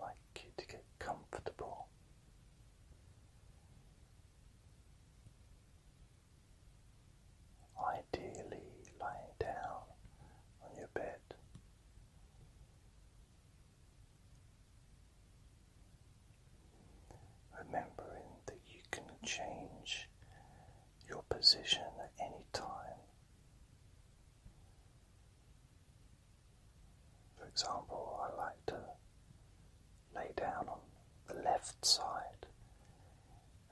like you to get comfortable. Ideally, lying down on your bed. Remembering that you can change your position at any time. For example, I like to lay down on the left side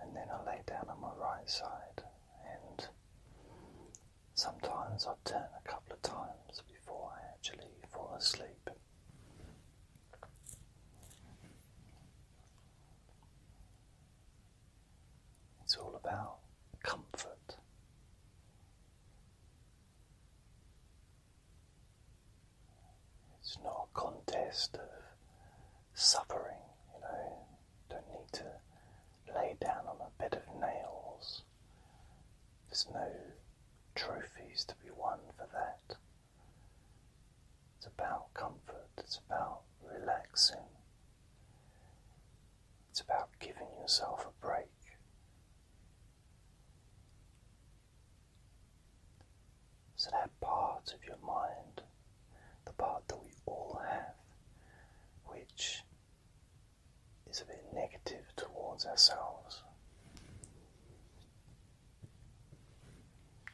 and then I lay down on my right side, and sometimes I turn a couple of times before I actually fall asleep. It's all about comfort. It's not a contest of suffering, you know. don't need to lay down on a bed of nails. There's no trophies to be won for that. It's about comfort, it's about relaxing, it's about giving yourself a break. So, that part of your mind, the part that we all have, which is a bit negative towards ourselves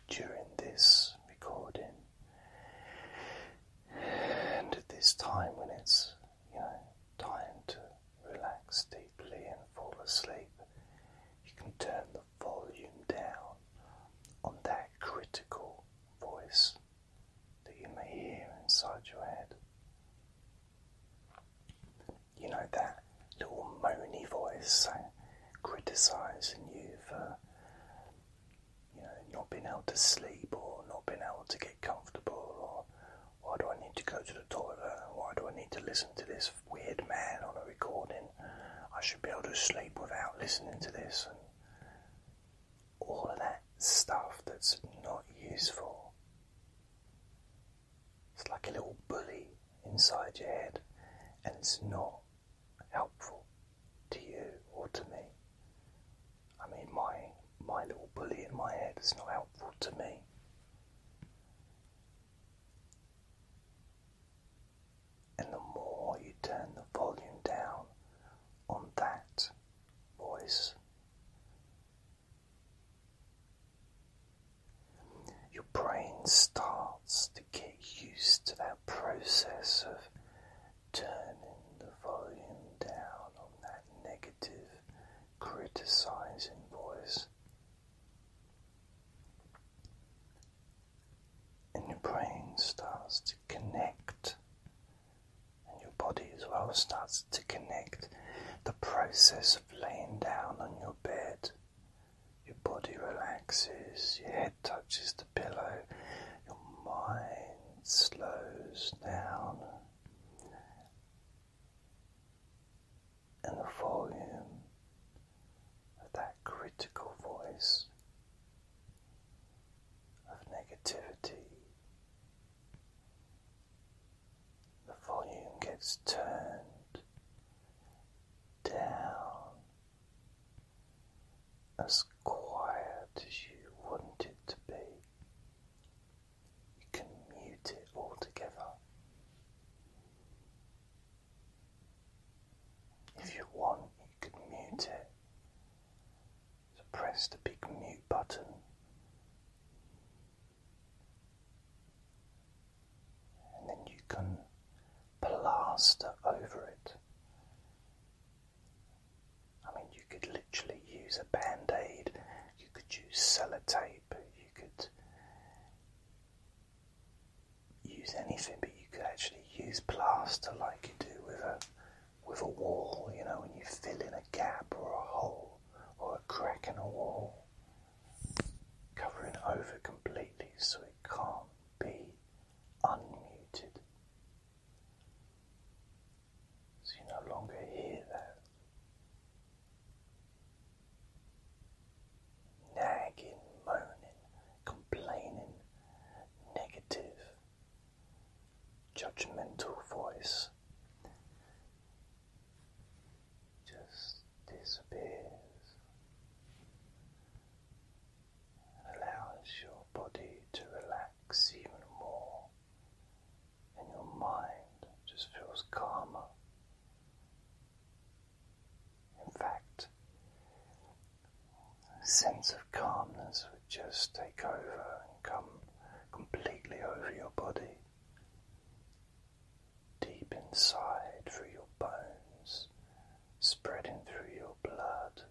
during this recording and at this time when it's you know time to relax deeply and fall asleep you can turn the volume down on that critical voice that you may hear inside your head you know that little moany voice criticizing you for you know, not being able to sleep or not being able to get comfortable or why do I need to go to the toilet? Why do I need to listen to this weird man on a recording? I should be able to sleep without listening to this and all of that stuff that's not useful. It's like a little bully inside your head and it's not helpful to you or to me. I mean, my my little bully in my head is not helpful to me. And the more you turn the volume down on that voice, your brain starts to get used to that process of turning the volume down on that negative, criticizing voice. And your brain starts to connect, and your body as well starts to connect. The process of laying down on your bed, your body relaxes, your head head touches the pillow, your mind slows down, and the volume of that critical voice of negativity. The volume gets turned down as quiet as you want it to be. You can mute it altogether. If you want, you can mute it. So press the big mute button. And then you can plaster over it. I mean, you could literally use a band aid, you could use sellotape, you could use anything, but you could actually use plaster like you do with a with a wall, you know, when you fill in a gap or a hole or a crack in a wall, covering over completely so it can't be unmuted. So you no longer hear that nagging, moaning, complaining, negative, judgmental voice just disappears and allows your body to relax even more, and your mind just feels calmer. In fact, a sense of calmness would just take over and come completely over your body, deep inside through your bones, spreading through your blood.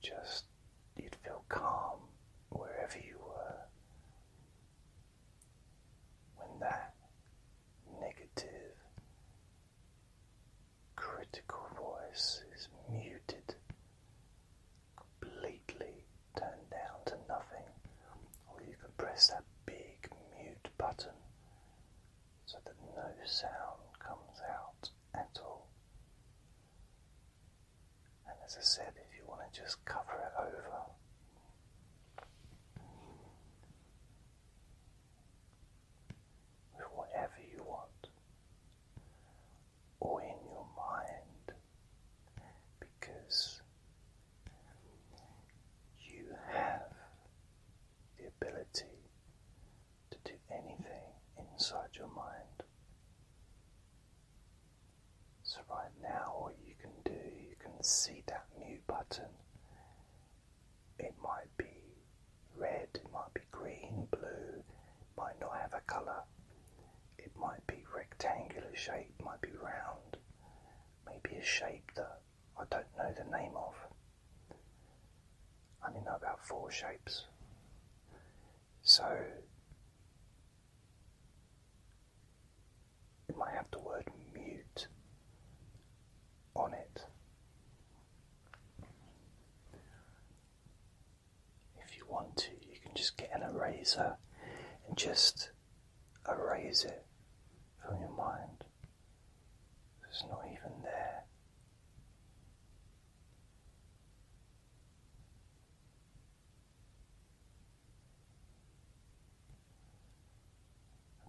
Just you'd feel calm wherever you were. When that negative, critical voice is muted, completely turned down to nothing, or you can press that big mute button so that no sound comes out at all. And as I said, if you want to just cover it over, with whatever you want, or in your mind, because you have the ability to do anything inside your mind. So, right now, all you can do, you can see that mute button. It might be red, it might be green, blue, might not have a colour, it might be rectangular shape, might be round, maybe a shape that I don't know the name of. I only know about four shapes. So it might have the word mute on it. If you want to, you can just get an eraser and just erase it from your mind. It's not even there.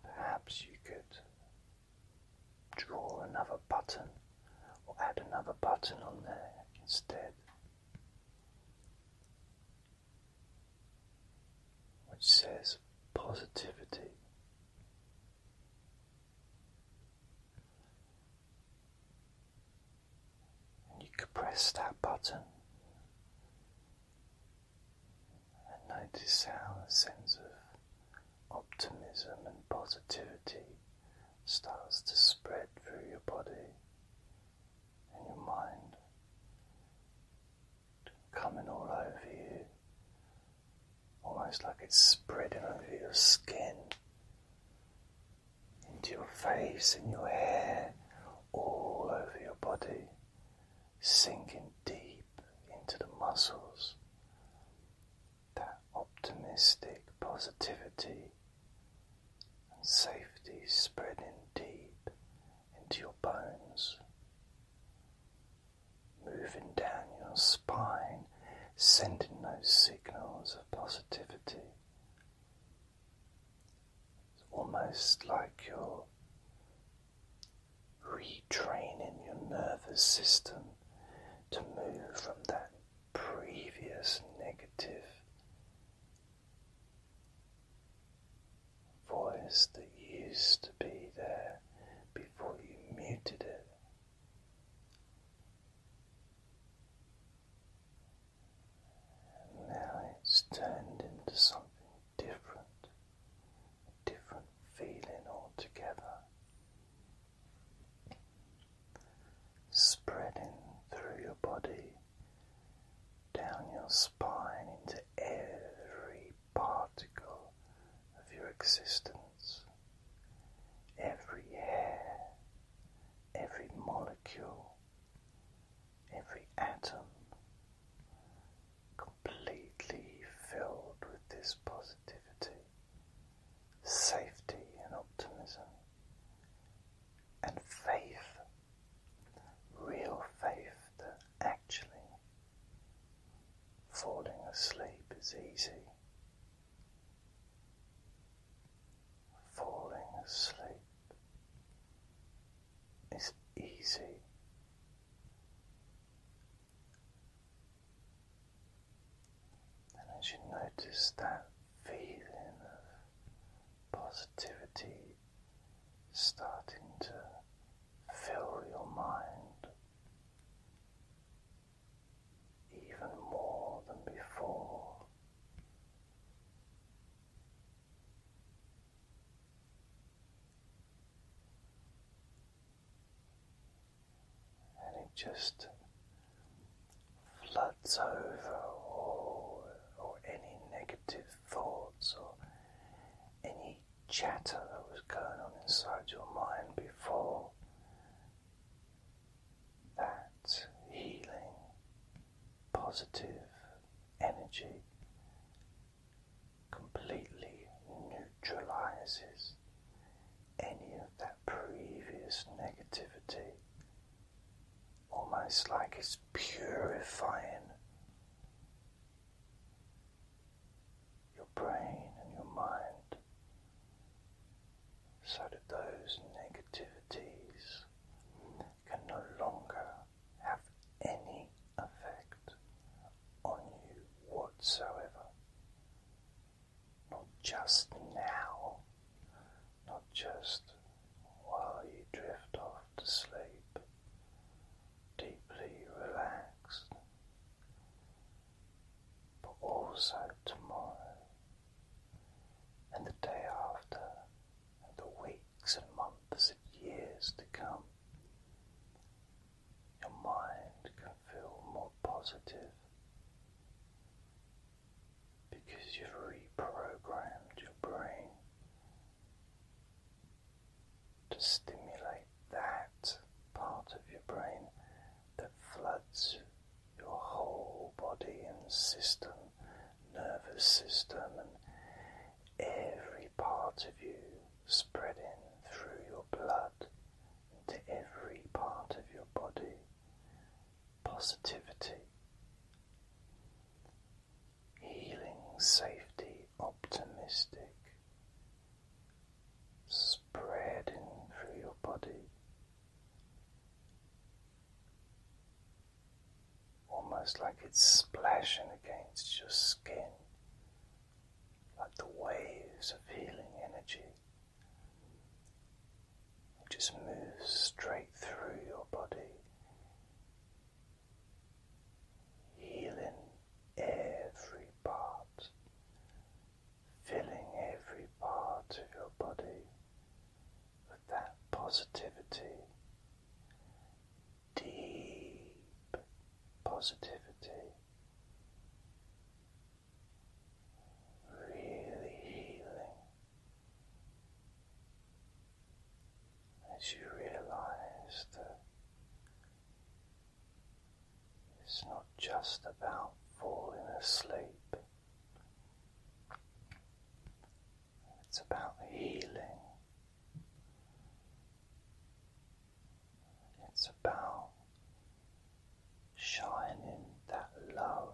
Perhaps you could draw another button or add another button on there instead, which says positivity. And you could press that button and notice how a sense of optimism and positivity starts to spread through your body and your mind coming all over you, almost like it's spreading over your skin, into your face and your hair, all over your body, sinking deep into the muscles. That optimistic positivity and safety spreading deep into your bones moving down your spine, sending those signals of positivity. It's almost like you're retraining your nervous system to move from that previous negative voice that used to be there before you muted it. And now it's turned into something different, different feeling altogether, spreading through your body, down your spine, into every particle of your existence, every hair, every molecule, every atom, completely filled with this positivity, safety, and optimism, and faith, real faith that Actually, falling asleep is easy. Falling asleep is easy. And as you notice that feeling of positivity starting to fill your mind even more than before. And it just floods over all or any negative thoughts or any chatter that was going on inside your mind before that healing, positive energy completely neutralizes any of that previous negativity, almost like it's purifying your brain and your mind so that those negativities can no longer have any effect on you whatsoever. Not just now, not just while you drift off to sleep, deeply relaxed but also tomorrow, and the day after, and the weeks and months and years to come. Your mind can feel more positive because you've reprogrammed your brain to stimulate that part of your brain that floods your whole body and system, nervous system, and every part of you spreading through your blood into every part of your body. Positivity, healing, safety, optimistic, spreading through your body, almost like it's splashing against your skin, like the waves of healing energy. It just moves straight through your body, healing every part, filling every part of your body with that positivity, deep positivity, really healing as you realize that. It's not just about falling asleep, it's about healing, it's about shining that love,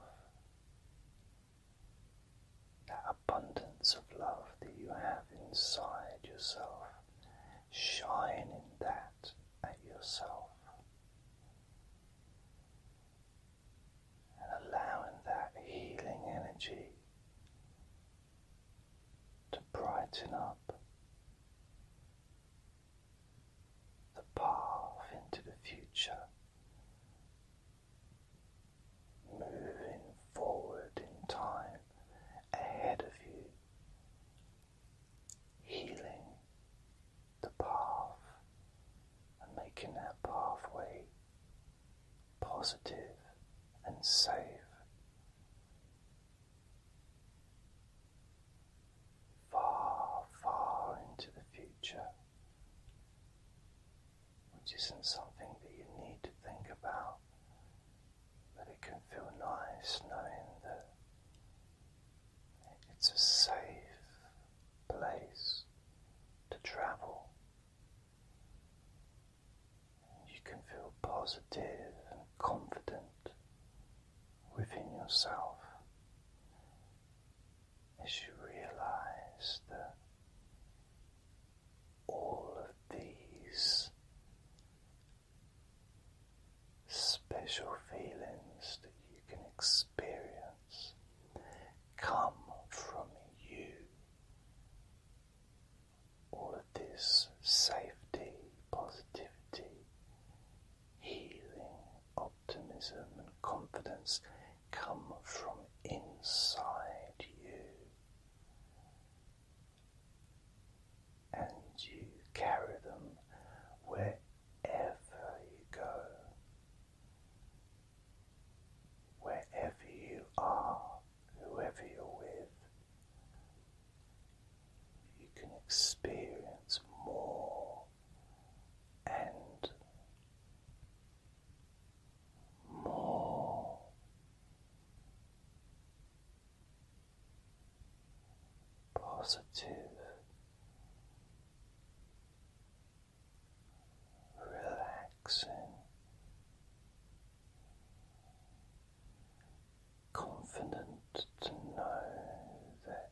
that abundance of love that you have inside yourself shining that at yourself and allowing that healing energy to brighten up the path into the future, moving forward in time ahead of you healing the path and making that pathway positive and safe. Far, far into the future, which isn't something that you need to think about but it can feel nice knowing that it's a safe place to travel. You can feel positive and confident within yourself as you realize that all of these special feelings that you can experience come from you. All of this safety, positivity, healing, optimism, and confidence come from inside you and you carry them wherever you go. Wherever you are, whoever you're with, you can experience more and more positive, relaxing, confident to know that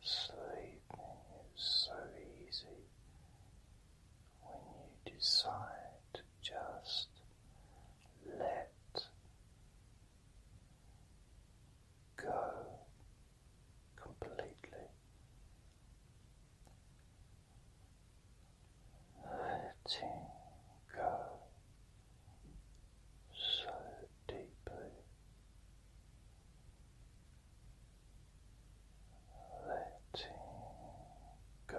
sleeping is so easy when you decide just let go completely. Letting go so deeply, letting go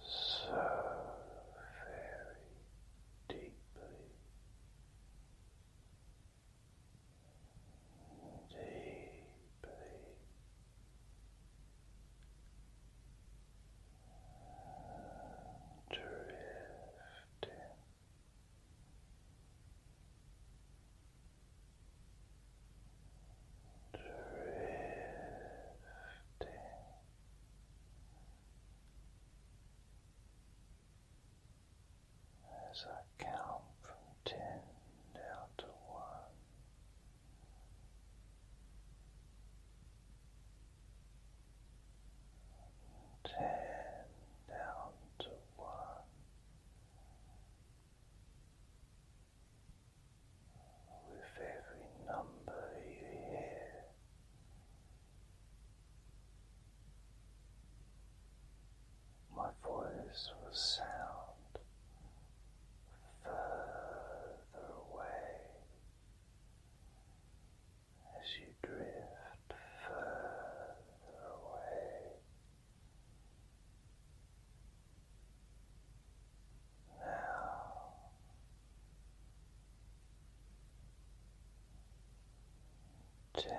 so very deeply, deeply drifting. Drifting. As I count from ten down to one, ten down to one, with every number you hear. My voice will sound further away as you drift further away. Now ten